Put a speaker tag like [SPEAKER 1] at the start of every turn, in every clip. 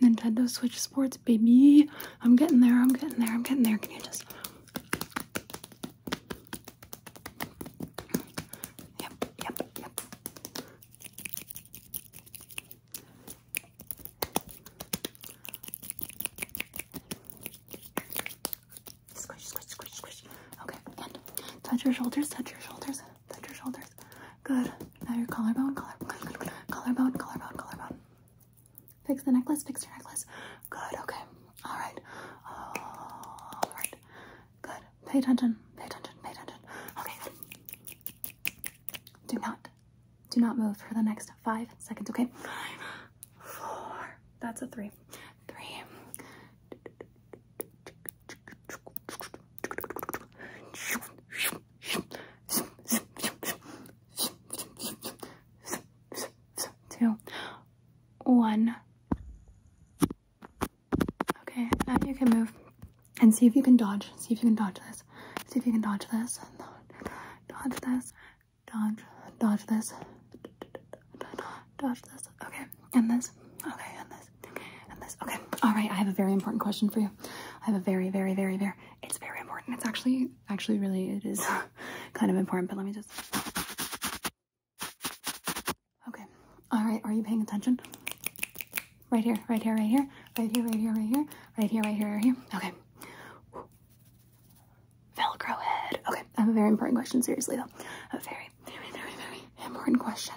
[SPEAKER 1] Nintendo Switch Sports, baby. I'm getting there, I'm getting there, I'm getting there. Can you just. Yep, yep, yep. Squish, squish, squish, squish. Okay, and touch your shoulders, touch your shoulders touch your shoulders. Good. Now your collarbone, collarbone, collarbone, collarbone, collarbone, Fix the necklace, fix your necklace. Good, okay. Alright. Alright. Good. Pay attention. Pay attention. Pay attention. Okay, good. Do not. Do not move for the next five seconds, okay? Five, four. That's a three. Three. Two, one. Okay, now you can move and see if you can dodge. See if you can dodge this. See if you can dodge this. Dodge this. Dodge. Dodge this. Dodge this. Okay, and this. Okay, and this. Okay, all right. I have a very important question for you. I have a very, very, very, very. It's very important. It's actually, actually, really, it is kind of important. But let me just. Okay. All right. Are you paying attention? Right here, right here, right here, right here, right here, right here, right here, right here, right here. Okay. Velcro head. Okay, I have a very important question, seriously though. A very, very, very, very important question.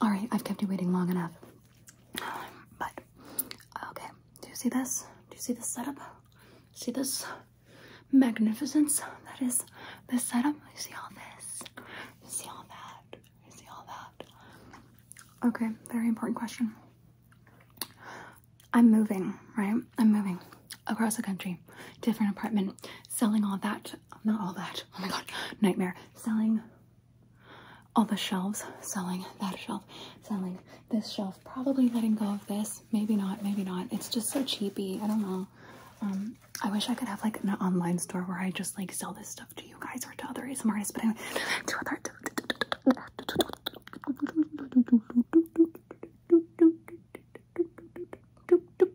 [SPEAKER 1] All right, I've kept you waiting long enough. Um, but okay, do you see this? Do you see this setup? See this magnificence that is this setup? You see all this? You see all that? You see all that? Okay, very important question. I'm moving, right? I'm moving across the country, different apartment, selling all that, not all that, oh my god, nightmare, selling all the shelves, selling that shelf, selling this shelf, probably letting go of this, maybe not, maybe not. It's just so cheapy. I don't know. Um, I wish I could have like an online store where I just like sell this stuff to you guys or to other ASMR but anyway,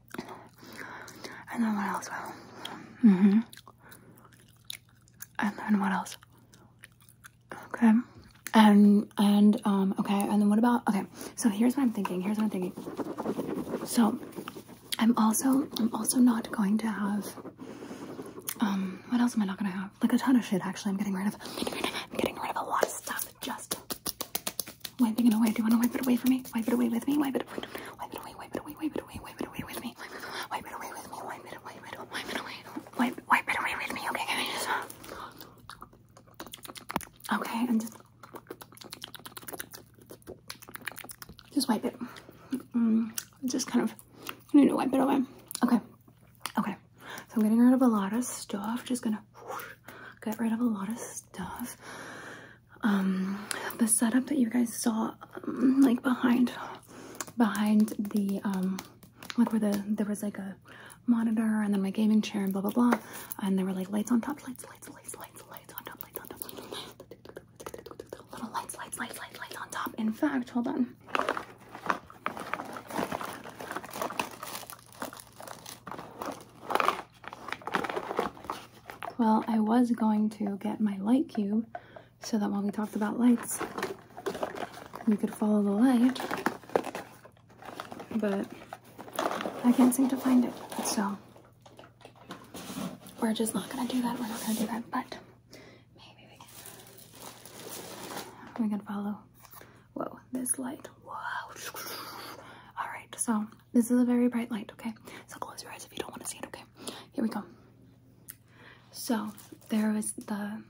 [SPEAKER 1] And then what else? Mm hmm. And then what else? Okay. And, and, um, okay. And then what about, okay. So here's what I'm thinking. Here's what I'm thinking. So I'm also, I'm also not going to have, um, what else am I not going to have? Like a ton of shit, actually. I'm getting rid of, getting rid of, getting rid of a lot of stuff. Just Wiping it away. Do you want to wipe it away for me? Wipe it away with me. Wipe it away. Wipe it away. Wipe it away. Wipe it away. Wipe it away with me. Wipe it away with me. Wipe it away. Wipe it away. Wipe it away. Wipe, wipe it away with me. Okay, can I just? Okay, and just just wipe it. Mm, just kind of you need to wipe it away. Okay, okay. So I'm getting rid of a lot of stuff. Just gonna. Whoosh, got rid of a lot of stuff. Um, the setup that you guys saw, um, like behind, behind the, um, like where the, there was like a monitor and then my gaming chair and blah, blah, blah. And there were like lights on top, lights, lights, lights, lights, lights on top, lights on top. Little lights, lights, lights, lights, lights on top. In fact, hold on. Well, I was going to get my light cube so that while we talked about lights, you could follow the light, but I can't seem to find it, so we're just not gonna do that. We're not gonna do that, but maybe we can. We can follow. Whoa, this light. Whoa. All right, so this is a very bright light, okay? So close your eyes if you don't want to see it, okay? Here we go. So there is the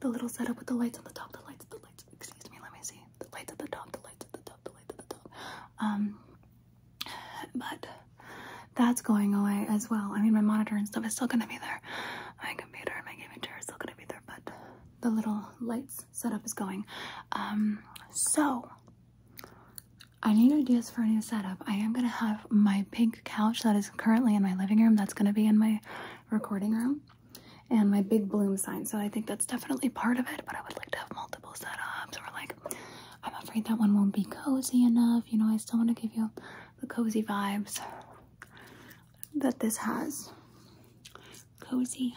[SPEAKER 1] the little setup with the lights on the top, the lights, the lights, excuse me, let me see. The lights at the top, the lights at the top, the lights at the top. Um but that's going away as well. I mean my monitor and stuff is still gonna be there. My computer and my gaming chair is still gonna be there, but the little lights setup is going. Um, so I need ideas for a new setup. I am gonna have my pink couch that is currently in my living room. That's gonna be in my recording room, and my big bloom sign. So I think that's definitely part of it. But I would like to have multiple setups. Or like, I'm afraid that one won't be cozy enough. You know, I still want to give you the cozy vibes that this has. Cozy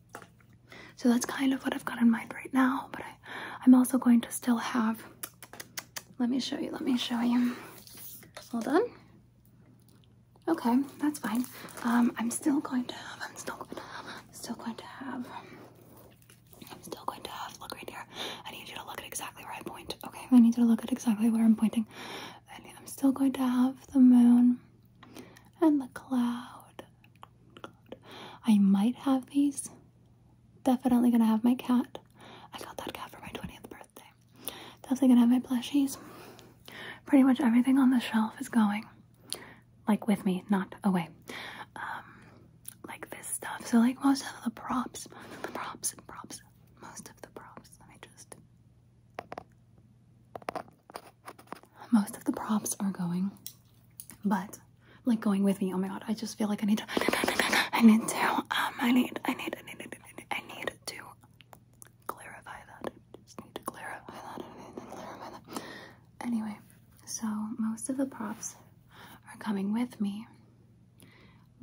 [SPEAKER 1] so that's kind of what I've got in mind right now, but I, I'm also going to still have, let me show you, let me show you. All done? Okay, that's fine. Um, I'm still going to have, I'm still going to have, I'm still going to have, I'm still going to have, look right here. I need you to look at exactly where I point. Okay, I need you to look at exactly where I'm pointing. And I'm still going to have the moon and the cloud I might have these. Definitely gonna have my cat. I got that cat for my 20th birthday. Definitely gonna have my plushies. Pretty much everything on the shelf is going. Like with me, not away. Um, like this stuff. So like most of the props, most of the props, props, most of the props. Let just most of the props are going, but like going with me. Oh my god, I just feel like I need to. I need to. Um, I need. I need. I need. I need, I need to clarify that. I just need to clarify that. I need to clarify that. Anyway, so most of the props are coming with me,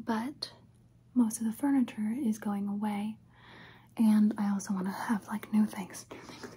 [SPEAKER 1] but most of the furniture is going away, and I also want to have like new things. New things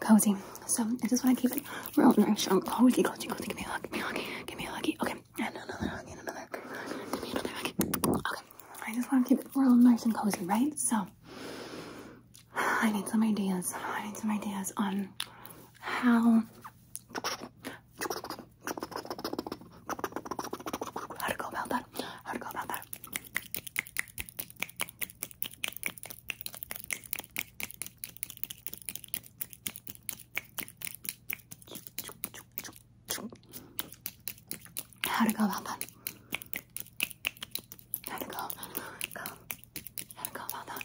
[SPEAKER 1] Cozy. So I just want to keep it real and strong. Oh, cozy, cozy, cozy. Give me a hug. Give me a hug. Give me a huggy. Okay. another hug. another. Give me another hug. Okay. I just want to keep it real nice and cozy, right? So I need some ideas. I need some ideas on how how to go about that? How to go about that? How to go about that? How to go? How to go? How to go about that?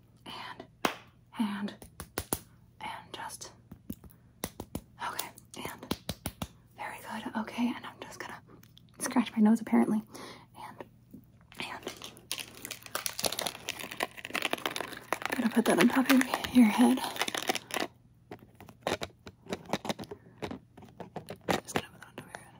[SPEAKER 1] and, and, and just, okay, and, very good, okay, and I'm just gonna scratch my nose apparently, and, and, I'm gonna put that on top of your head. Just gonna put that on top of your head.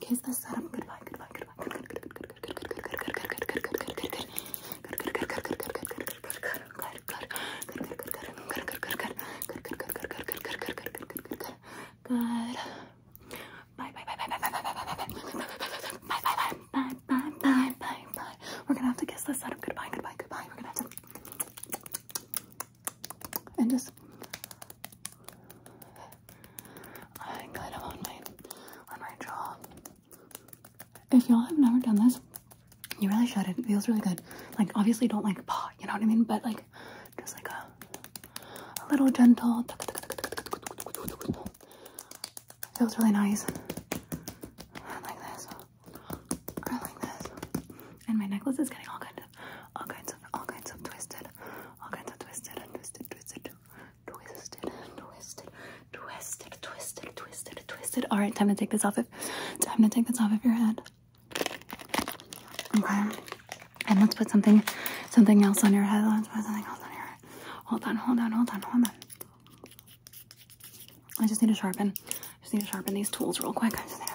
[SPEAKER 1] Kiss the sun. Goodbye, goodbye, goodbye, good, good, good, good, good, good, good, good, good, good, good, good, good, good. Good. Bye, bye, bye, bye, bye, bye, bye, bye, bye, bye, bye, bye, bye, bye, bye, bye. We're gonna have to kiss this setup. Goodbye, goodbye, goodbye. We're gonna have to and just and kind of on my on my jaw. If y'all have never done this, you really should. It feels really good. Like obviously don't like paw, you know what I mean? But like just like a a little gentle feels really nice. Like this. Or like this. And my necklace is getting all kind of all kinds of, all kinds of twisted, all kinds of twisted and twisted, twisted, twisted, twisted, twisted, twisted, twisted, twisted. All right, time to take this off of, time to take this off of your head. Okay, and let's put something, something else on your head. Let's put something else on your head. Hold on, hold on, hold on, hold on. I just need to sharpen. I just need to sharpen these tools real quick. I just need to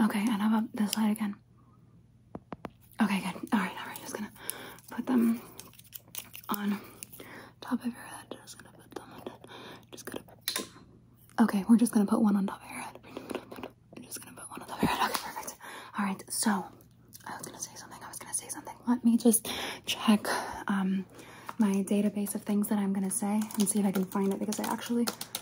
[SPEAKER 1] Okay, and how about this side again? Okay, good. Alright, alright. Just gonna put them on top of your head. Just gonna put them on top. Just gonna. Okay, we're just gonna put one on top of your head. I'm just gonna put one on top of your head. Okay, perfect. Alright, so I was gonna say something. I was gonna say something. Let me just check um, my database of things that I'm gonna say and see if I can find it because I actually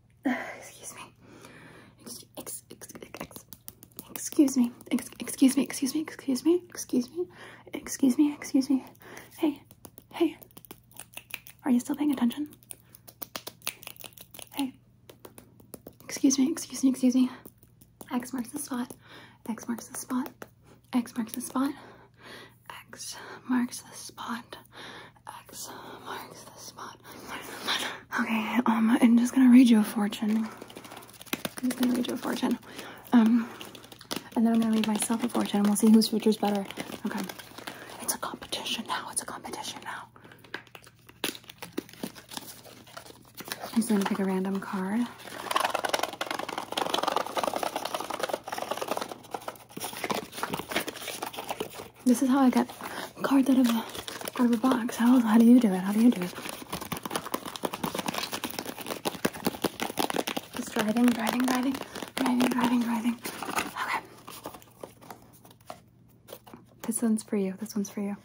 [SPEAKER 1] excuse me. Ex ex ex excuse me. Ex excuse me. Excuse me. Excuse me. Excuse me. Excuse me. Excuse me. Hey. Hey. Are you still paying attention? Hey. Excuse me. Excuse me. Excuse me. X marks the spot. X marks the spot. X marks the spot. X marks the spot. X marks the spot. Okay, um, I'm just gonna read you a fortune. I'm just gonna read you a fortune. Um, and then I'm gonna read myself a fortune and we'll see whose future's better. Okay. It's a competition now. It's a competition now. I'm just gonna pick a random card. This is how I get cards out of a box. How do you do it? How do you do it? Just driving, driving, driving, driving, driving, driving. Okay. This one's for you. This one's for you.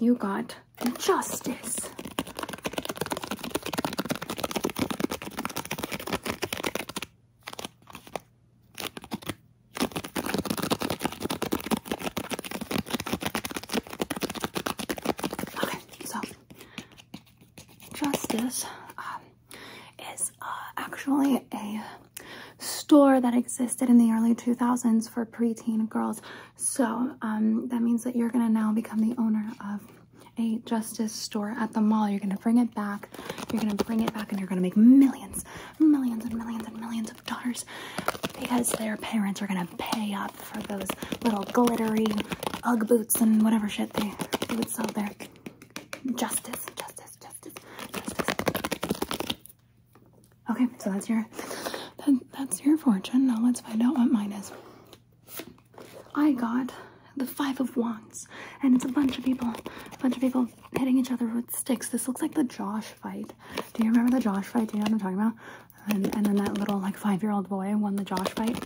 [SPEAKER 1] You got justice. Okay, so Justice um, is uh, actually a store that existed in the early 2000s for preteen girls. So um, that means that you're going to now become the owner of a Justice store at the mall. You're going to bring it back. You're going to bring it back and you're going to make millions millions, and millions and millions of dollars because their parents are gonna pay up for those little glittery Ugg boots and whatever shit they, would sell there. Justice, justice, justice, justice. Okay, so that's your that's your fortune. Now let's find out what mine is. I got the Five of Wands, and it's a bunch of people, a bunch of people hitting each other with sticks. This looks like the Josh fight. Do you remember the Josh fight? Do you know what I'm talking about? And, and then that little like five-year-old boy won the Josh fight.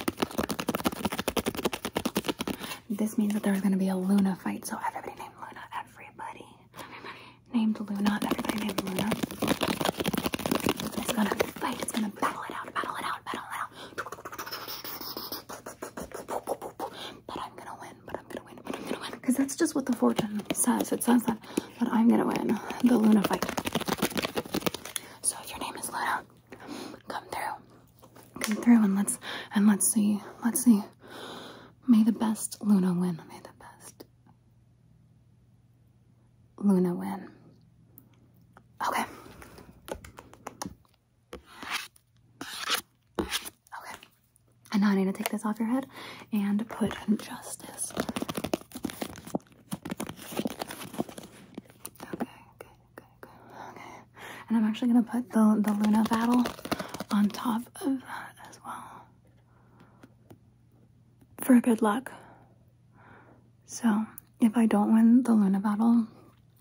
[SPEAKER 1] This means that there's going to be a Luna fight. So everybody named Luna. Everybody, everybody named Luna. Everybody named Luna. It's going to fight. It's going to battle it out. Battle it out. Battle it out that I'm gonna win, but I'm gonna win, but I'm gonna win. Because that's just what the fortune says. It says that, that I'm gonna win the Luna fight. So your name is Luna, come through. Come through and let's and let's see. Let's see. May the best Luna win. May the best Luna win. Okay. Okay. And now I need to take this off your head and put justice. Okay, good, good, Okay. And I'm actually gonna put the the Luna battle on top of that as well. For good luck. So if I don't win the Luna battle,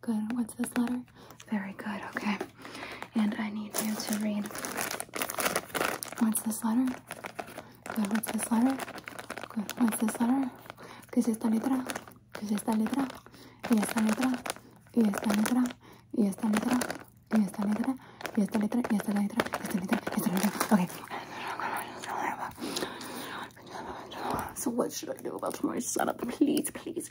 [SPEAKER 1] Good. What's this letter? Very good. Okay. And I need you to read. What's this letter? Good. What's this letter? Good. What's this letter? ¿Qué es esta letra? ¿Qué es esta letra? Y esta letra. Y esta letra. Y esta letra. Y esta letra. Y esta letra. Y esta letra. Y esta letra. Y esta letra. Okay. So what should I do about my setup? Please, please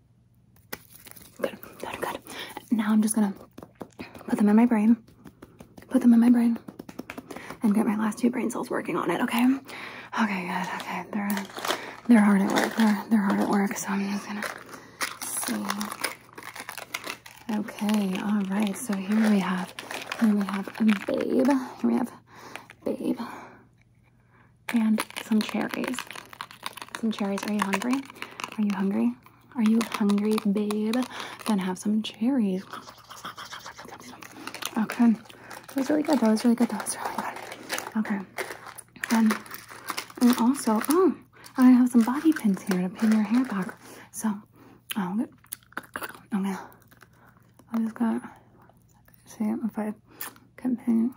[SPEAKER 1] Good, good, good. Now I'm just gonna put them in my brain. Put them in my brain. And get my last two brain cells working on it, okay? Okay, good, okay. They're they're hard at work. They're they're hard at work, so I'm just gonna see. Okay, alright, so here we have here we have a babe. Here we have babe. And some cherries some cherries. Are you hungry? Are you hungry? Are you hungry, babe? Then have some cherries. Okay. That was really good. That was really good. That was really good. Okay. And, and also, oh, I have some bobby pins here to pin your hair back. So, I'm gonna, I'm just gonna see if I can pin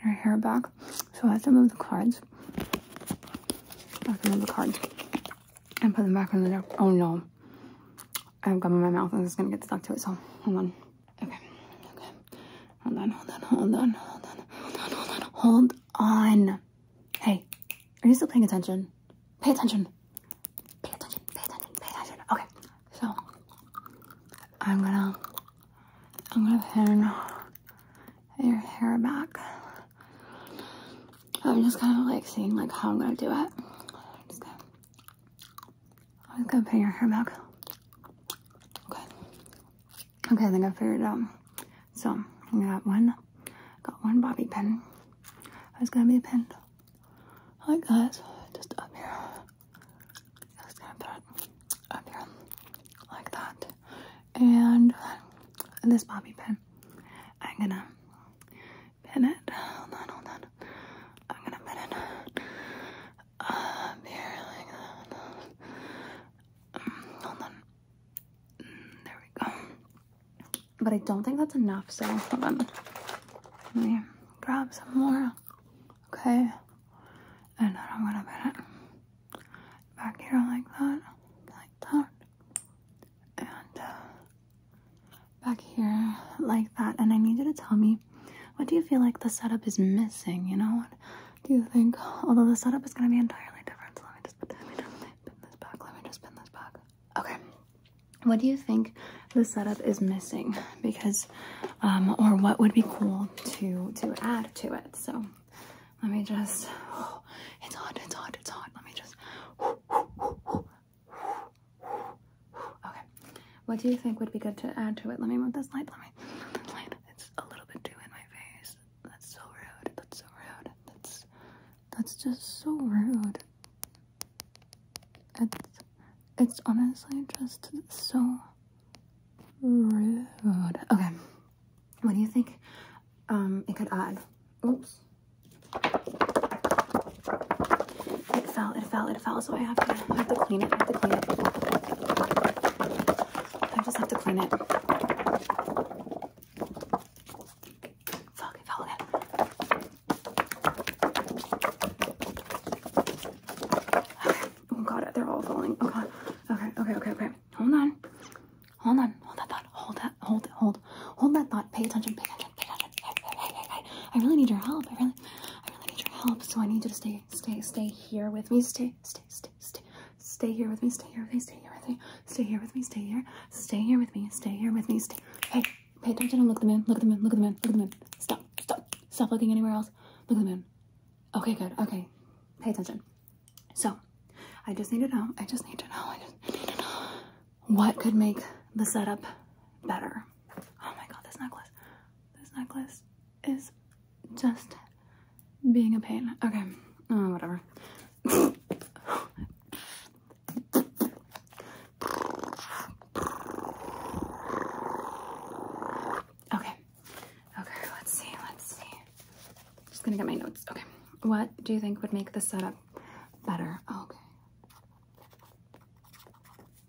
[SPEAKER 1] her hair back. So I have to move the cards. I have to move the cards and put them back in the deck. Oh no. I have gum in my mouth and it's gonna get stuck to it, so hold on. Okay, okay. Hold on, hold on, hold on, hold on, hold on, hold on, hold on. Hey, are you still paying attention? Pay attention. Pay attention, pay attention, pay attention. Okay, so I'm gonna, I'm gonna pin your hair back. I'm just kind of like seeing like how I'm gonna do it. I'm just gonna, put am your hair back. Okay. Okay, I think I figured it out. So I got one, got one bobby pin. It's gonna be pinned like that, just up here. Just gonna put up here like that and this bobby pin I'm gonna pin it hold on hold on I'm gonna pin it up here like that um, hold on mm, there we go but I don't think that's enough so hold on let me grab some more okay and then I'm gonna pin it back here like that, like that, and uh, back here like that. And I need you to tell me, what do you feel like the setup is missing? You know, what do you think? Although the setup is gonna be entirely different, let me just put, let me pin this back. Let me just pin this back. Okay. What do you think the setup is missing? Because, um, or what would be cool to to add to it? So. Let me just, it's hot, it's hot, it's hot. Let me just, okay. What do you think would be good to add to it? Let me move this light, let me, light. It's a little bit too in my face. That's so rude, that's so rude. That's, that's just so rude. It's, it's honestly just so rude. Okay. What do you think um, it could add? Oops. It fell, it fell, it fell, so I have to, clean it, I have to clean it. I just have to clean it. Fuck, it fell again. Okay, oh god, they're all falling, oh god. Okay, okay, okay, okay. Hold on. Hold on. Hold that thought. Hold that. Hold it. Hold. Hold that thought. Pay attention. Pay attention. Pay attention. I really need your help. I really, I really need your help. So I need you to stay, stay, stay here with me. Stay, stay, stay, stay. Stay here with me. Stay here with me. Stay here with me. Stay here with me. Stay here. Stay here with me. Stay here with me. Stay. Hey, pay attention and look at the moon. Look at the moon. Look at the moon. Look at the moon. Stop. Stop. Stop looking anywhere else. Look at the moon. Okay, good. Okay. Pay attention. So, I just need to know. I just need to know. what could make the setup better. Oh my god, this necklace. This necklace is just being a pain. Okay, oh, whatever. okay, Okay, let's see, let's see. Just gonna get my notes. Okay. What do you think would make the setup better? Okay.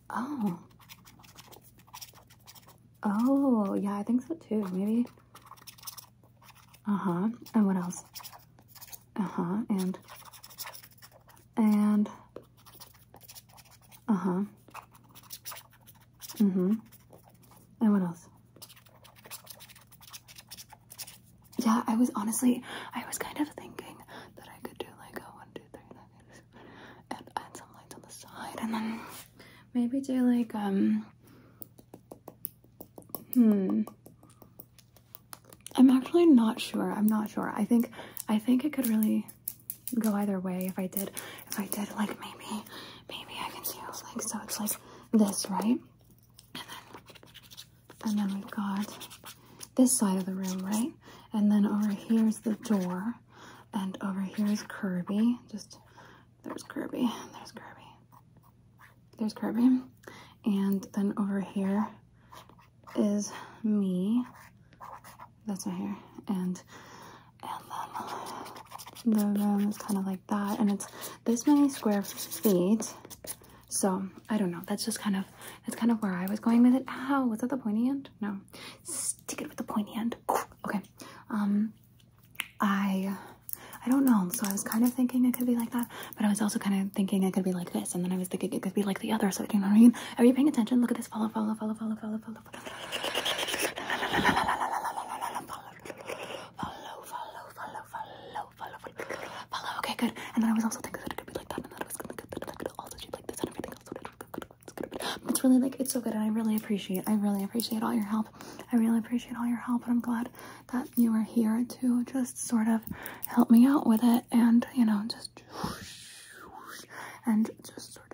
[SPEAKER 1] Oh. Oh, yeah, I think so too. Maybe. Uh-huh. And what else? Uh-huh. And and uh-huh. Mm-hmm. And what else? Yeah, I was honestly, I was kind of thinking that I could do like a one, two, three, nine, and add some lights on the side, and then maybe do like um. Hmm. I'm actually not sure. I'm not sure. I think I think it could really go either way if I did if I did like maybe maybe I can see it's like. So it's like this, right? And then, and then we've got this side of the room, right? And then over here is the door. And over here is Kirby. Just, there's Kirby, there's Kirby, there's Kirby. And then over here is me. That's my hair. And and then the room is kind of like that. And it's this many square feet. So I don't know. That's just kind of that's kind of where I was going with it. Ow, was that the pointy end? No. Stick it with the pointy end. Okay. Um I I don't know. So I was kind of thinking it could be like that, but I was also kind of thinking it could be like this, and then I was thinking it could be like the other. So you know what I mean? Are you paying attention? Look at this. Follow, follow, follow, follow, follow, follow, follow, follow, follow, follow, follow, follow. Okay, good. And then I was also thinking that it could be like that, and that it was gonna be like all the like this and everything else. It's gonna be. It's really like it's so good, and I really appreciate. I really appreciate all your help. I really appreciate all your help, and I'm glad that you are here to just sort of help me out with it, and you know, just and just sort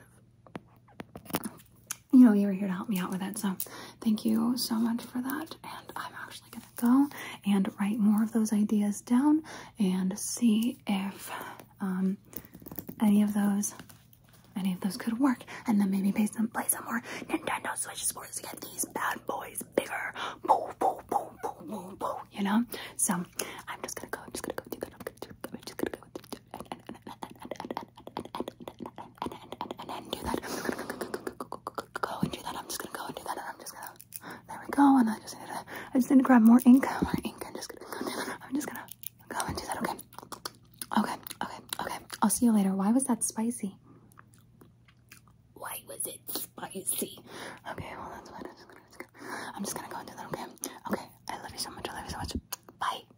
[SPEAKER 1] of you know, you were here to help me out with it. So thank you so much for that. And I'm actually going to go and write more of those ideas down and see if um, any of those any of those could work. And then maybe play some, play some more Nintendo Switch sports to get these bad boys bigger. Boo, boo, boo, boo, boo, boo, you know? So I'm just going to go. I'm just going to go. I'm just going to go. I'm just going to go. And, and, and, and, and, and, and and do that. Go and do that. I'm just gonna go and do that. And I'm just gonna. There we go. And I just need to. I just need to grab more ink. More ink. I'm just gonna. Go do that. I'm just gonna go and do that. Okay. Okay. Okay. Okay. I'll see you later. Why was that spicy? Why was it spicy? Okay. Well, that's what I'm just gonna. I'm just gonna go and do that. Okay. Okay. I love you so much. I love you so much. Bye.